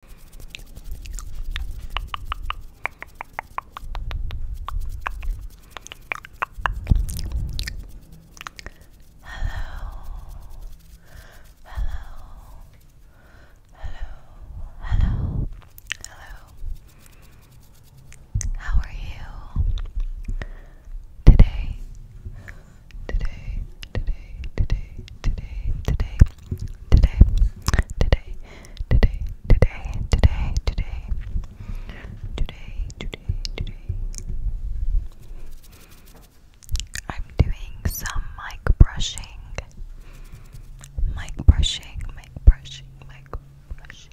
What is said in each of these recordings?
Hello, hello, hello, hello, hello. How are you today? Today, today, today, today, today, today, today, today, today, today, today, today, today, today. I'm doing some mic brushing, mic brushing, mic brushing, mic brushing.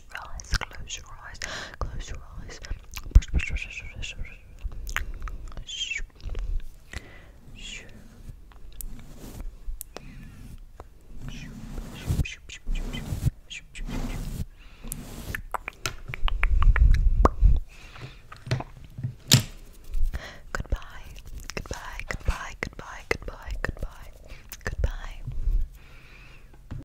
close your eyes, close your eyes, close your eyes. Goodbye, goodbye, goodbye, goodbye, goodbye, goodbye, goodbye.